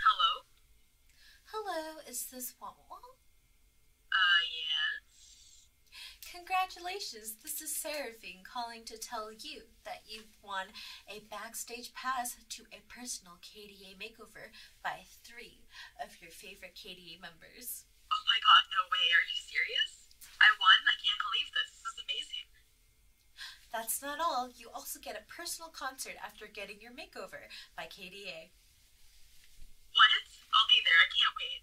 Hello? Hello, is this Wobble? Uh, yes. Congratulations, this is Seraphine calling to tell you that you've won a backstage pass to a personal KDA makeover by three of your favorite KDA members. Oh my god, no way, are you serious? I won? I can't believe this. This is amazing. That's not all. You also get a personal concert after getting your makeover by KDA. What? I'll be there. I can't wait.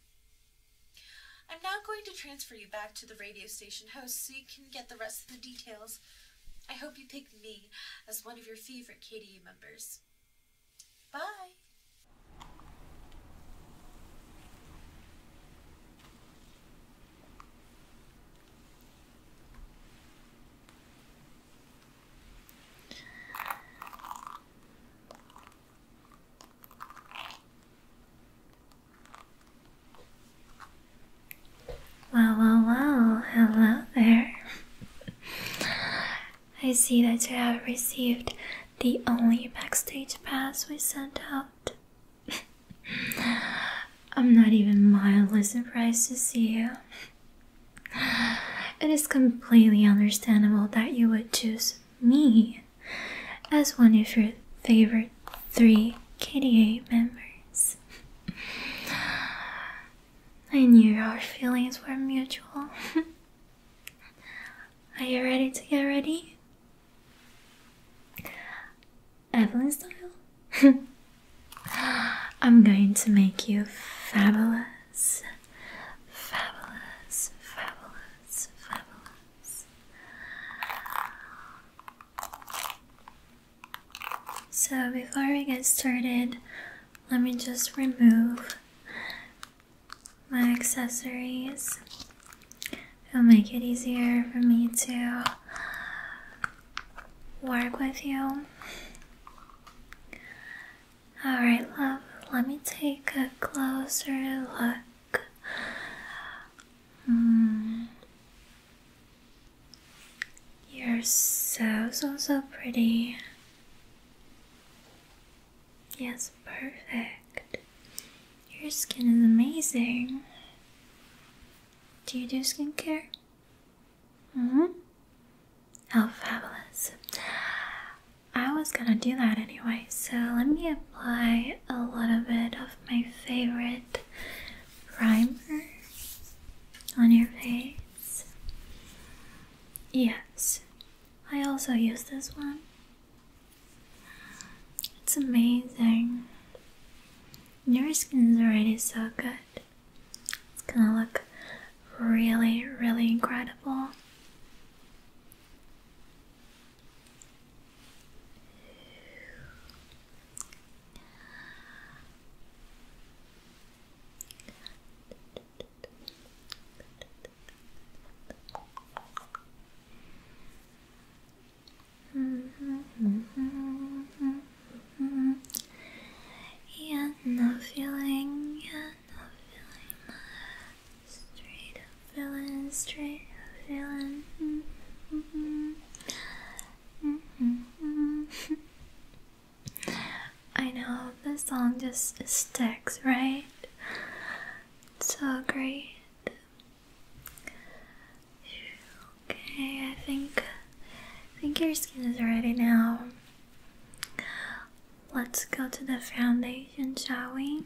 I'm now going to transfer you back to the radio station host so you can get the rest of the details. I hope you picked me as one of your favorite KDU members. Bye! Wow, wow, wow, hello there. I see that you have received the only backstage pass we sent out. I'm not even mildly surprised to see you. It is completely understandable that you would choose me as one of your favorite three KDA members. I knew our feelings were mutual. Are you ready to get ready? Evelyn style? I'm going to make you fabulous, fabulous, fabulous, fabulous. So, before we get started, let me just remove my accessories. It'll make it easier for me to work with you. Alright, love, let me take a closer look. Mm. You're so, so, so pretty. Yes, perfect. Your skin is amazing. Do you do skincare? Mm hmm. How fabulous. I was gonna do that anyway, so let me apply a little bit of my favorite primer on your face. Yes, I also use this one. It's amazing. Your skin is already so good. It's gonna look really, really incredible. Yeah, no feeling, yeah, no feeling. Straight up villain, straight up villain. Mm I know the song just sticks, right? so great. Okay, I think I think your skin is ready now. Let's go to the foundation, shall we?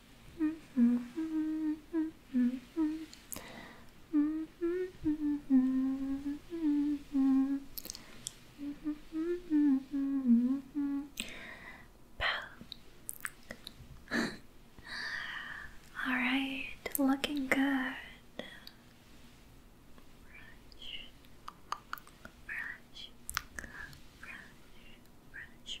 All right, looking good. Brush, brush, brush, brush,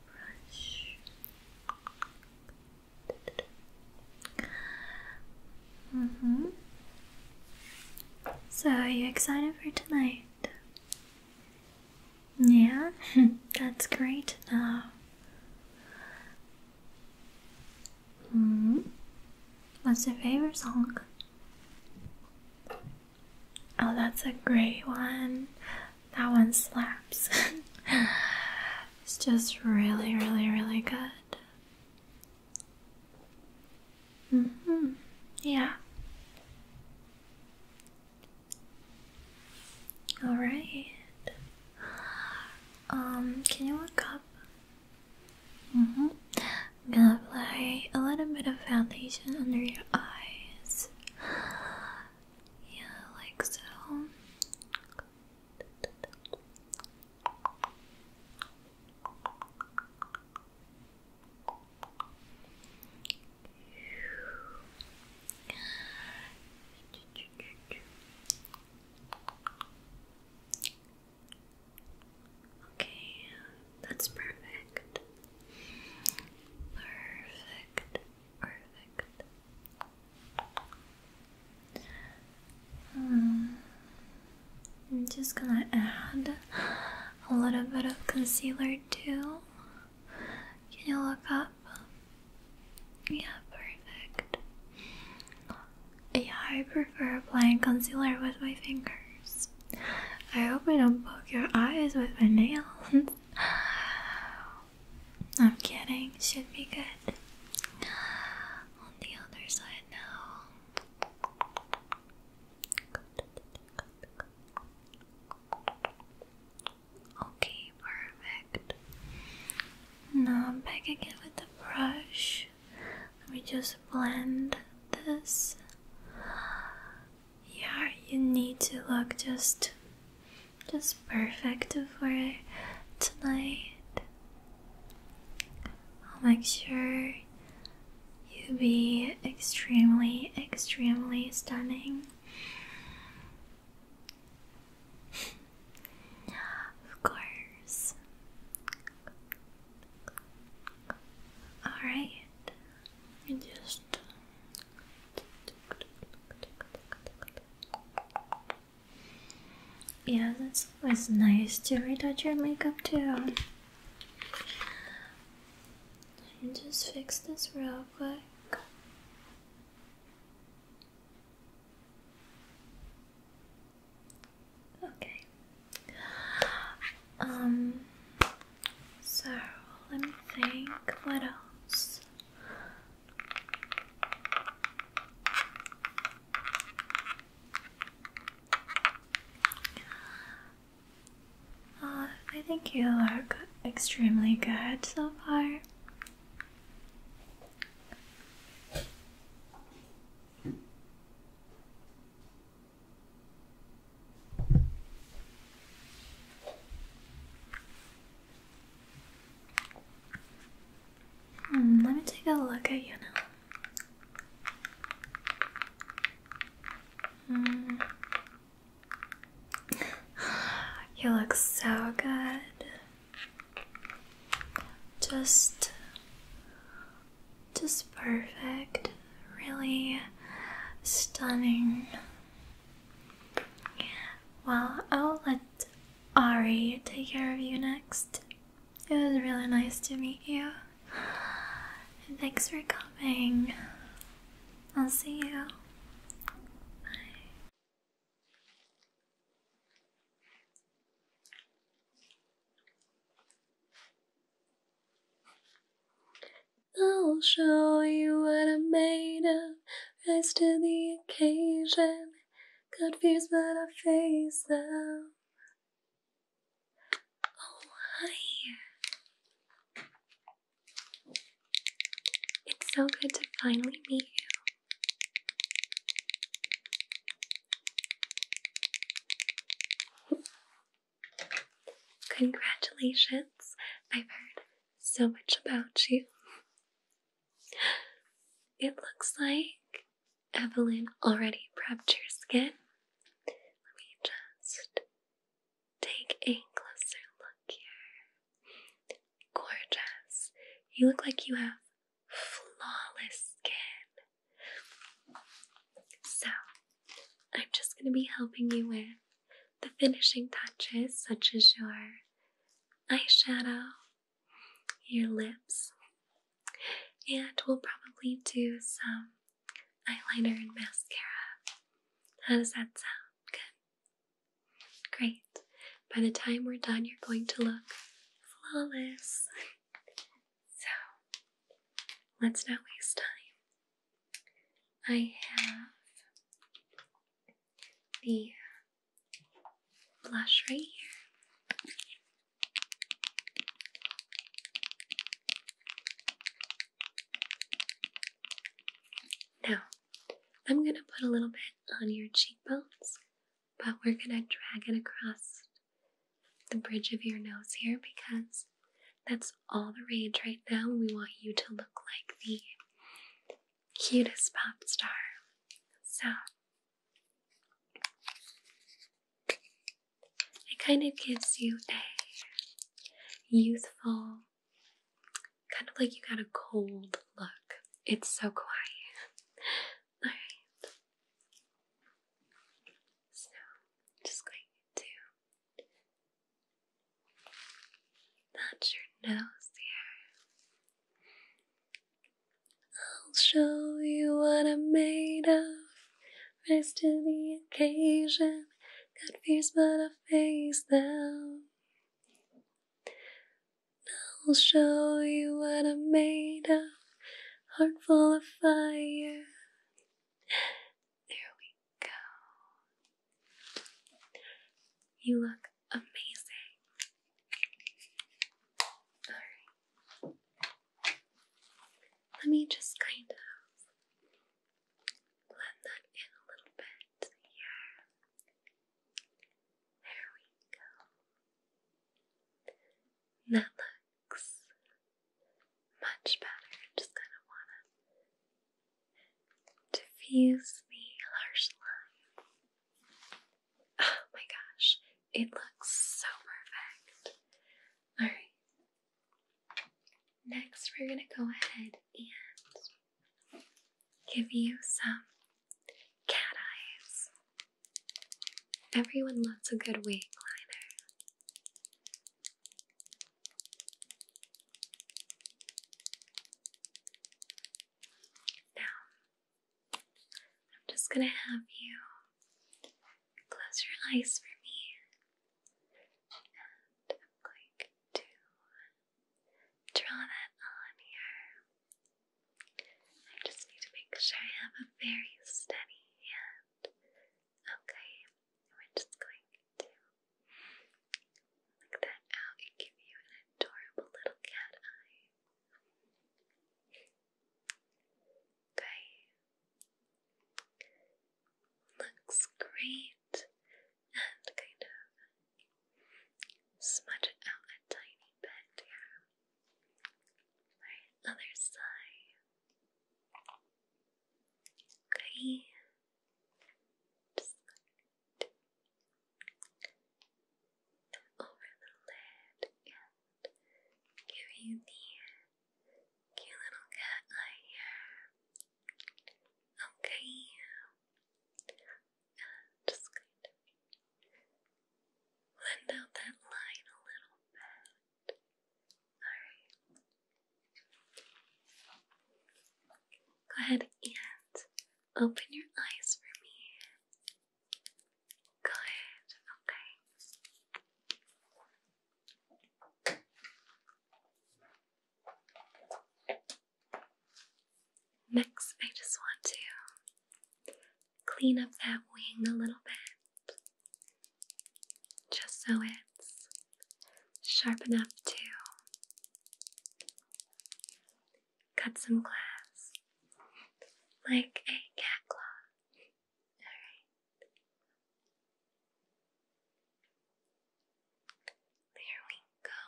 brush. Mm So, are you excited for tonight? Yeah, that's great now. -hmm. What's your favorite song? Oh, that's a great one. That one slaps. it's just really, really, really good. hmm. Yeah. All right. Um, can you look up? hmm. I'm gonna apply a little bit of foundation under your eyes. Yeah, like so. Okay, that's perfect. Perfect. Perfect. Hmm. I'm just gonna add a little bit of concealer too. Can you look up? Yeah, perfect. Yeah, I prefer applying concealer with my fingers. I hope I don't poke your eyes with my nails. I'm kidding, should be good. On the other side now. Okay, perfect. Now I'm back again with the brush. Let me just blend this yeah, you need to look just just perfect for tonight. I'll make sure you be extremely, extremely stunning. of course. Alright. Just yeah, that's always nice to retouch your makeup too. just fix this real quick. Okay. Um so let me think what else. Uh, I think you are extremely good so far. Hmm, let me take a look at you now. Hmm. you look so good. Just just perfect. Really stunning. Well, I'll let Ari take care of you next. It was really nice to meet you. And thanks for coming. I'll see you. Bye. I'll show you what I'm made of. Rise to the occasion. Got fears, but I face them. Oh, hi. It's so good to finally meet you. Congratulations, I've heard so much about you. It looks like Evelyn already prepped your skin. Let me just take a closer look here. Gorgeous. You look like you have flawless skin. So, I'm just going to be helping you with the finishing touches, such as your eyeshadow, your lips, and we'll probably do some eyeliner and mascara. How does that sound? Good. Great. By the time we're done, you're going to look flawless. so, let's not waste time. I have the blush right here. Now, I'm going to put a little bit on your cheekbones, but we're going to drag it across the bridge of your nose here because that's all the rage right now. We want you to look like the cutest pop star. So, it kind of gives you a youthful, kind of like you got a cold look. It's so quiet. Alright. So, just going to Touch your nose here. I'll show you what I'm made of. Rise to the occasion. Got fears, but I face them. I'll show you what I'm made of. Heart full of fire. There we go. You look amazing. Alright. Let me just kind of blend that in a little bit here. There we go. That looks much better. Just kind of want to diffuse the harsh line. Oh my gosh, it looks so perfect. Alright, next we're going to go ahead and give you some cat eyes. Everyone loves a good wig liner. Now, I'm just going to have you close your eyes for me, and I'm going to draw that on here. I just need to make sure I have a very steady hand. Okay, so we're just going to look that out and give you an adorable little cat eye. Okay. Looks great. And kind of smudge it out a tiny bit here. Alright, other side. Okay. Just over the lid and give you the cute little cat eye here. Okay, just going to blend out that line a little bit. Alright. Go ahead and open your eyes for me. Good, okay. Next, I just want to clean up that wing a little bit, just so it sharp enough to cut some glass like a cat claw. Alright. There we go.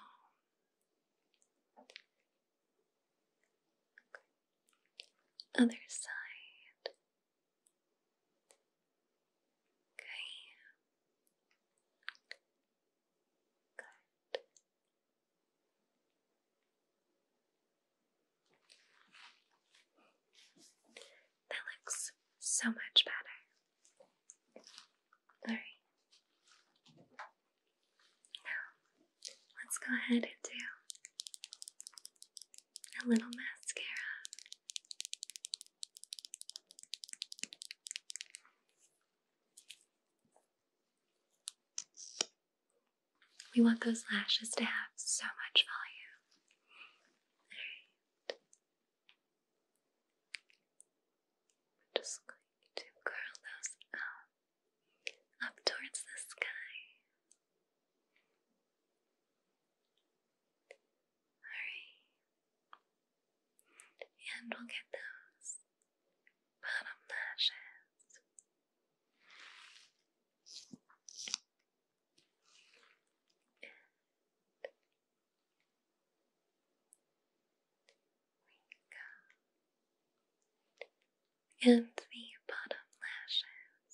Other side. Okay. That looks so much better. Alright. Now, let's go ahead and do a little mascara. We want those lashes to have so much volume. just going to curl those up, up towards the sky. Alright and we'll get those bottom lashes. And and bottom lashes.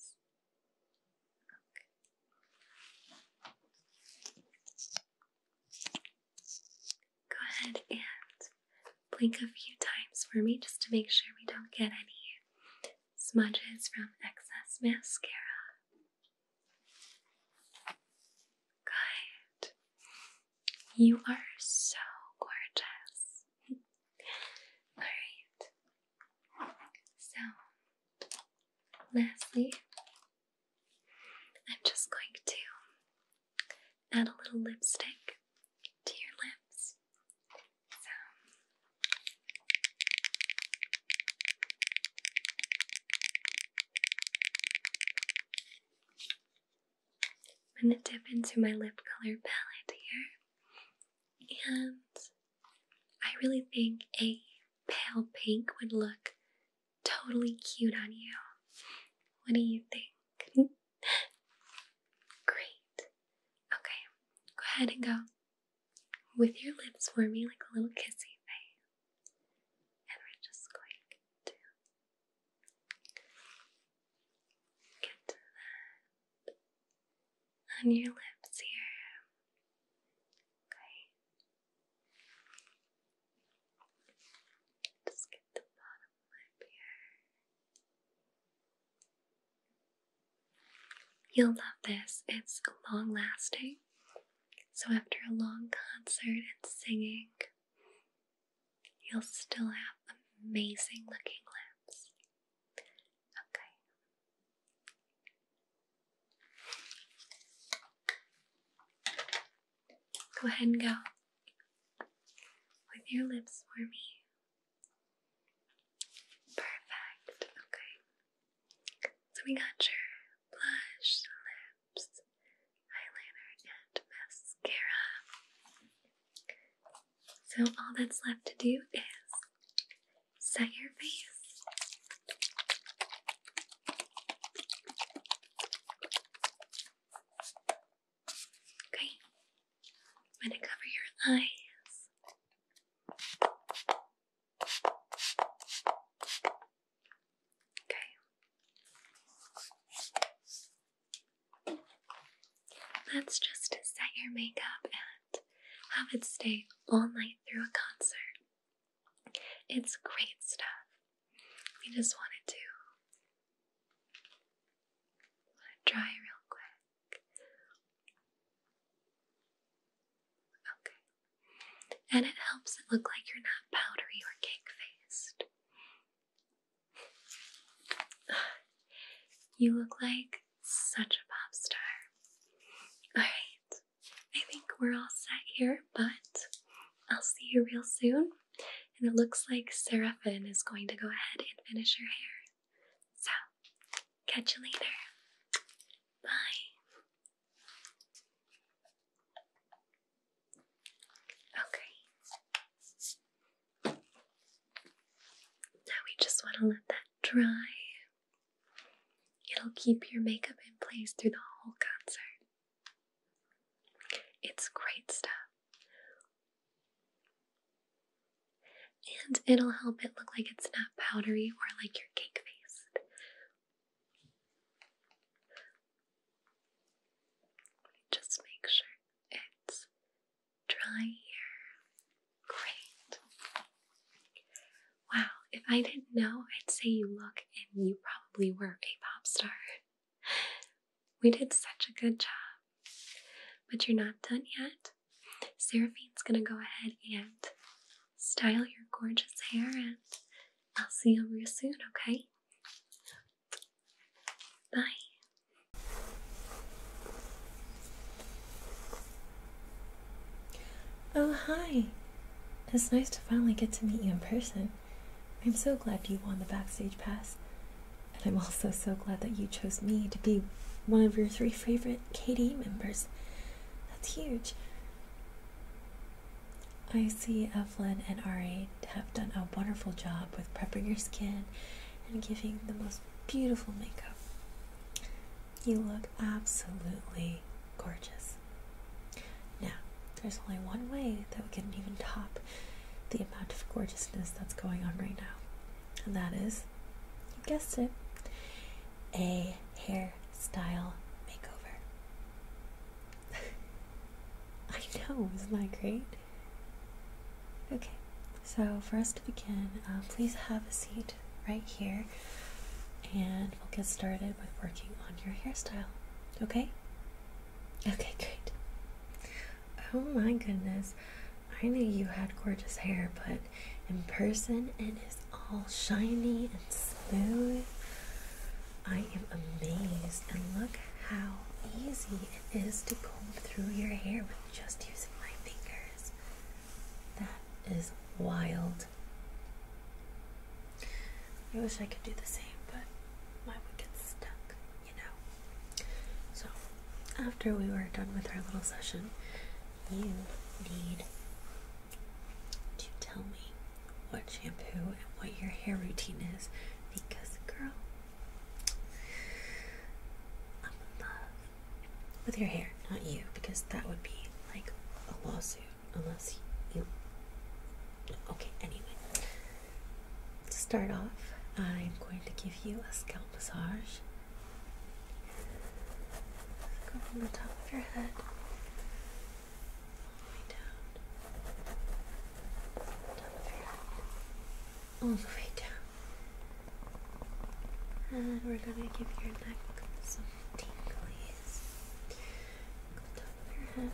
Go ahead and blink a few times for me just to make sure we don't get any smudges from excess mascara. Good. You are so gorgeous. Alright. So, lastly, I'm just going to add a little lipstick to your lips. I'm going to dip into my lip color palette here, and I really think a pale pink would look totally cute on you. What do you think? Great. Okay, go ahead and go with your lips for me like a little kissy face, And we're just going to get to that on your lips here. Okay. Just get the bottom lip here. You'll love this. It's long lasting. So, after a long concert and singing, you'll still have amazing looking lips. Okay. Go ahead and go with your lips for me. Perfect. Okay. So we got your blush, lips, eyeliner, and mascara. So all that's left to do is set your face. Okay, I'm going to cover your eyes. Okay. Let's just set your makeup and have it stay all night through a concert. It's great stuff. We just wanted to let it dry real quick. Okay. And it helps it look like you're not powdery or cake faced. You look like such a pop star. Alright, I think we're all set here, but I'll see you real soon. And it looks like Seraphin is going to go ahead and finish her hair. So, catch you later. Bye. Okay. Now we just want to let that dry. It'll keep your makeup in place through the whole concert. It's great stuff. And it'll help it look like it's not powdery or like your cake faced. Just make sure it's dry here. Great. Wow, if I didn't know, I'd say you look and you probably. We were a pop star. We did such a good job. But you're not done yet. Seraphine's gonna go ahead and style your gorgeous hair, and I'll see you real soon, okay? Bye. Oh, hi! It's nice to finally get to meet you in person. I'm so glad you won the backstage pass, and I'm also so glad that you chose me to be one of your three favorite KDE members. That's huge. I see Evelyn and Ari have done a wonderful job with prepping your skin and giving the most beautiful makeup. You look absolutely gorgeous. Now, there's only one way that we can even top the amount of gorgeousness that's going on right now, and that is, you guessed it, a hairstyle makeover. I know, isn't that great? Okay, so for us to begin, uh, please have a seat right here and we'll get started with working on your hairstyle. Okay? Okay, great. Oh my goodness. I knew you had gorgeous hair, but in person it is all shiny and smooth. I am amazed and look how easy it is to comb through your hair with just using my fingers. That is wild. I wish I could do the same, but I would get stuck, you know. So, after we were done with our little session, you need to tell me what shampoo and what your hair routine is because, girl, I'm in love with your hair, not you, because that would be like a lawsuit unless you. Okay, anyway. To start off, I'm going to give you a scalp massage. Go from the top of your head all the way down. Top of we're gonna give your neck some tingles. Go top of your head.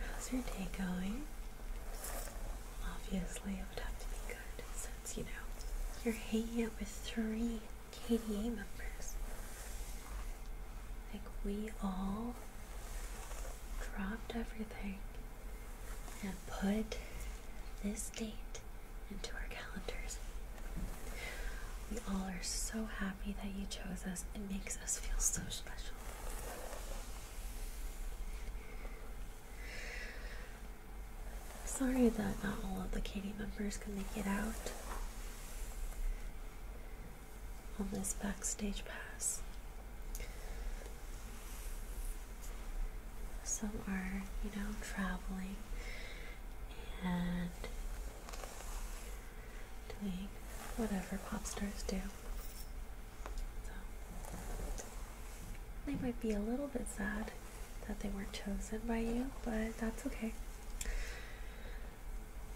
How's your day going? Obviously, it would have to be good since you know you're hanging out with three KDA members. Like, we all dropped everything and put this date into our calendars. We all are so happy that you chose us, it makes us feel so special. Sorry that not all of the Katie members can make it out on this backstage pass. Some are, you know, traveling and doing whatever pop stars do they might be a little bit sad that they weren't chosen by you, but that's okay.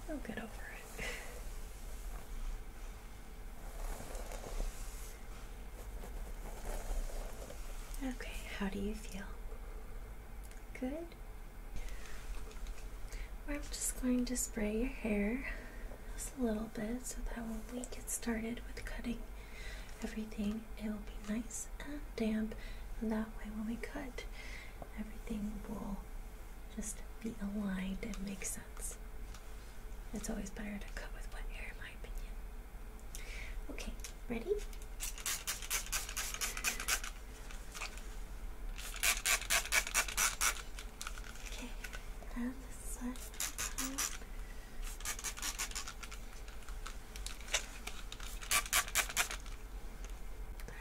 They'll get over it. okay, how do you feel? Good? I'm just going to spray your hair just a little bit so that when we get started with cutting everything, it will be nice and damp. And that way, when we cut, everything will just be aligned and make sense. It's always better to cut with wet hair, in my opinion. Okay, ready? Okay, now this side.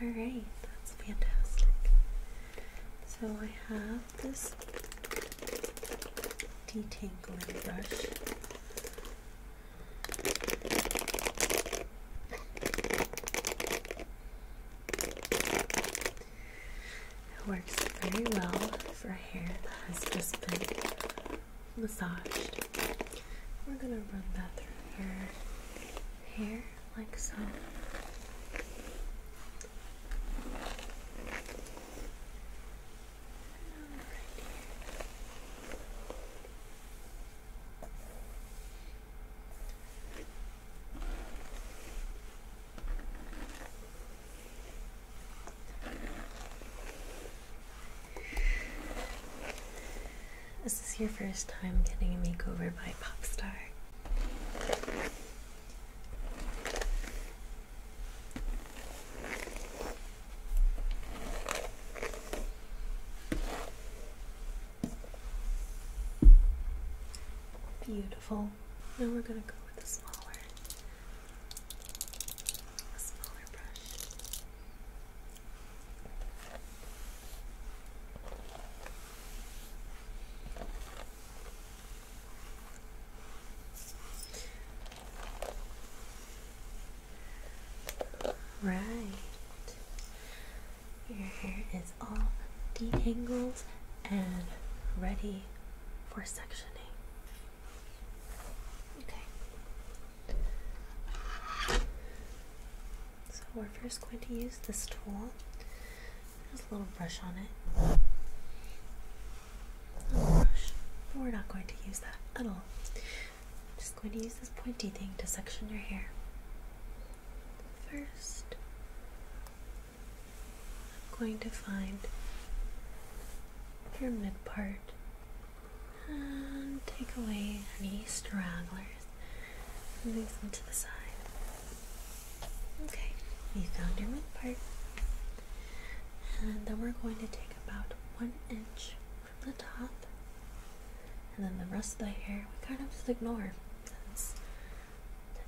Alright, that's fantastic. So I have this detangling brush. It works very well for hair that has just been massaged. We're going to run that through your hair like so. This Is your first time getting a makeover by Popstar? Beautiful now we're gonna go with a smaller, a smaller brush. Right. Your hair is all detangled and ready for sectioning. Okay. So we're first going to use this tool. There's a little brush on it. little brush. But we're not going to use that at all. I'm just going to use this pointy thing to section your hair. First, I'm going to find your mid part and um, take away any stragglers. Move them to the side. Okay, you found your mid part. And then we're going to take about one inch from the top. And then the rest of the hair we kind of just ignore.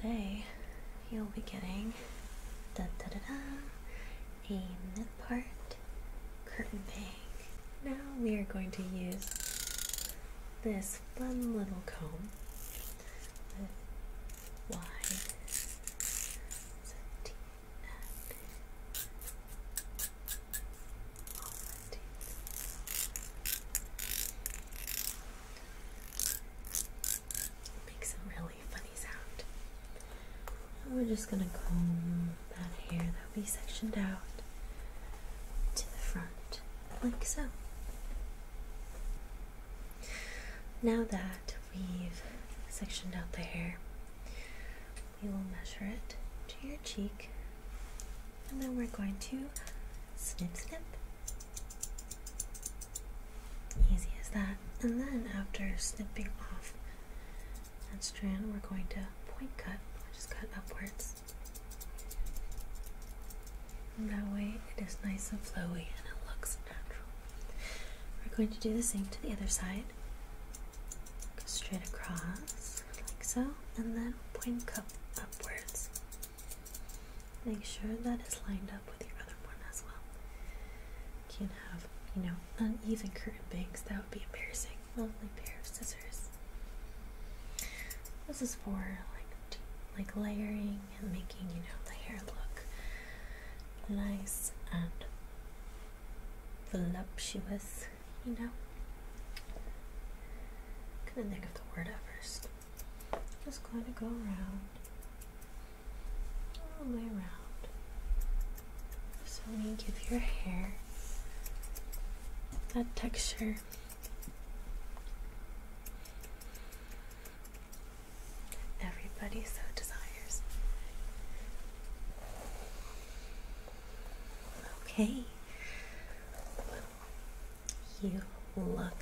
Today, you'll be getting da da da da, a mid part curtain bang. Now we are going to use this fun little comb Make some really funny sound. we're just gonna comb that hair that we sectioned out to the front, like so. Now that we've sectioned out the hair, we will measure it to your cheek, and then we're going to snip, snip. Easy as that. And then after snipping off that strand, we're going to point cut, we'll just cut upwards. And that way it is nice and flowy and it looks natural. We're going to do the same to the other side. Go straight across, like so, and then point cut upwards. Make sure that is lined up with your other one as well. You can't have, you know, uneven curtain bangs. That would be embarrassing. Lovely pair of scissors. This is for like like layering and making, you know, the hair look nice and voluptuous, you know. Couldn't think of the word at first. Just going to go around, all the way around. So we give your hair that texture. Everybody so desires. Okay. you look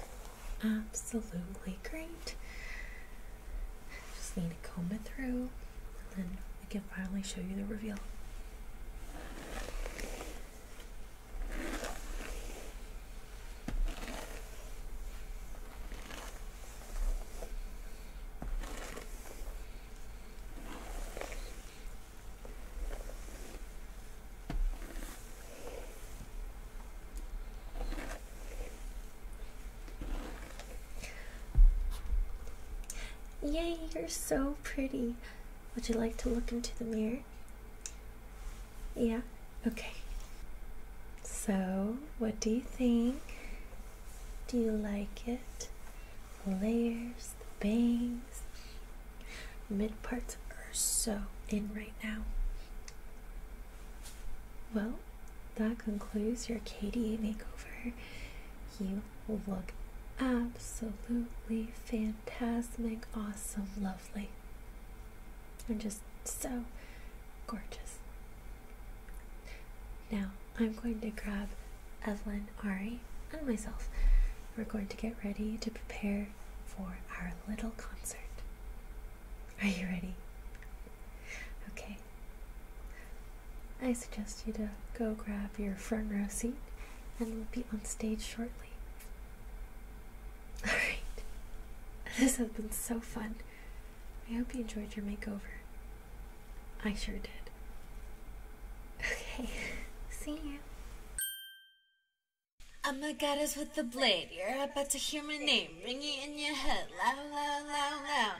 absolutely great. Just need to comb it through, and then I can finally show you the reveal. Yay, you're so pretty. Would you like to look into the mirror? Yeah? Okay. So, what do you think? Do you like it? The layers, the bangs, mid parts are so in right now. Well, that concludes your KDA makeover. You look absolutely fantastic, awesome, lovely. You're just so gorgeous. Now, I'm going to grab Evelyn, Ari, and myself. We're going to get ready to prepare for our little concert. Are you ready? Okay. I suggest you to go grab your front row seat and we'll be on stage shortly. Alright. This has been so fun. I hope you enjoyed your makeover. I sure did. Okay. See you. I'm a goddess with the blade. You're about to hear my name it in your head, loud, loud, loud, loud.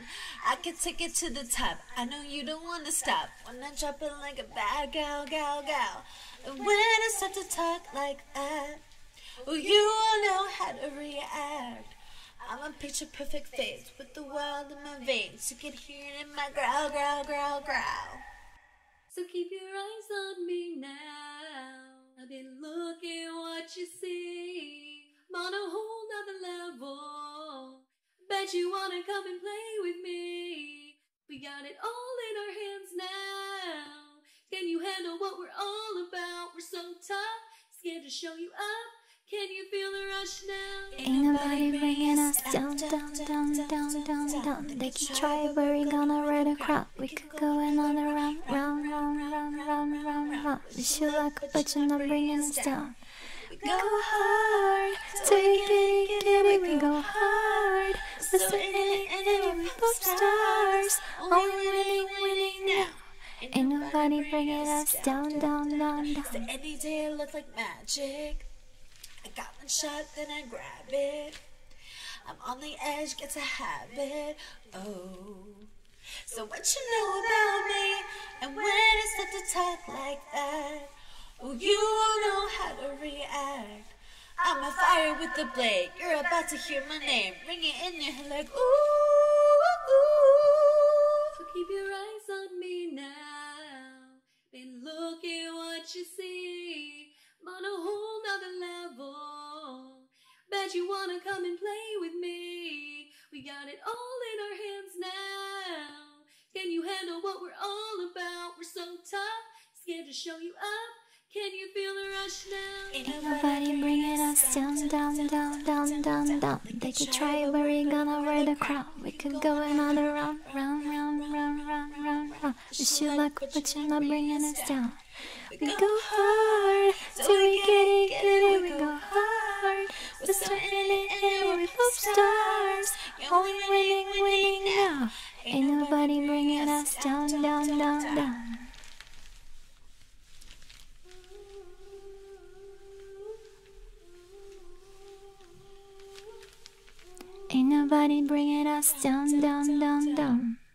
I can take it to the top. I know you don't want to stop when I drop it like a bad gal, gal, gal. And when I start to talk like that, well, you will know how to react. I'm a picture perfect face with the wild in my veins. You can hear it in my growl, growl, growl, growl. So keep your eyes on me now. I've been looking what you see. i on a whole nother level. Bet you wanna come and play with me. We got it all in our hands now. Can you handle what we're all about? We're so tough, scared to show you up. Can you feel the rush now? Ain't nobody bringing us down, down, down, down, down, down. They keep trying, but we gonna ride across yeah, we could go another round, round, round, round, round, round, round. Wish you luck, but you're not bringing us down. We go hard, so we can get it. We go hard, so in it, and then we're both stars. Only winning, winning now. Ain't nobody bringing us down, down, down, down. So any day it looks like magic. I got one shot, then I grab it. I'm on the edge, get a habit. Oh. So what you know about me? And when it's start to talk like that, oh, you won't know how to react. I'm on fire with the blade. You're about to hear my name it in your head like ooh, ooh. So keep your eyes on me now and look at what you see on a whole nother level. Bet you wanna come and play with me. We got it all in our hands now. Can you handle what we're all about? We're so tough, scared to show you up. Can you feel the rush now? Ain't nobody bringing us down, down, down, down, down, down. They could try, but we're gonna wear the crown. We could go another round, round, round, round, round, round, round. Wish you but you're not bringing us down. We go hard, so we get it, get We go hard, we're so in it, and we're both stars. you only winning, winning now. Ain't nobody bringing us down, down, down, down. Ain't nobody bringing us down, down, down, down.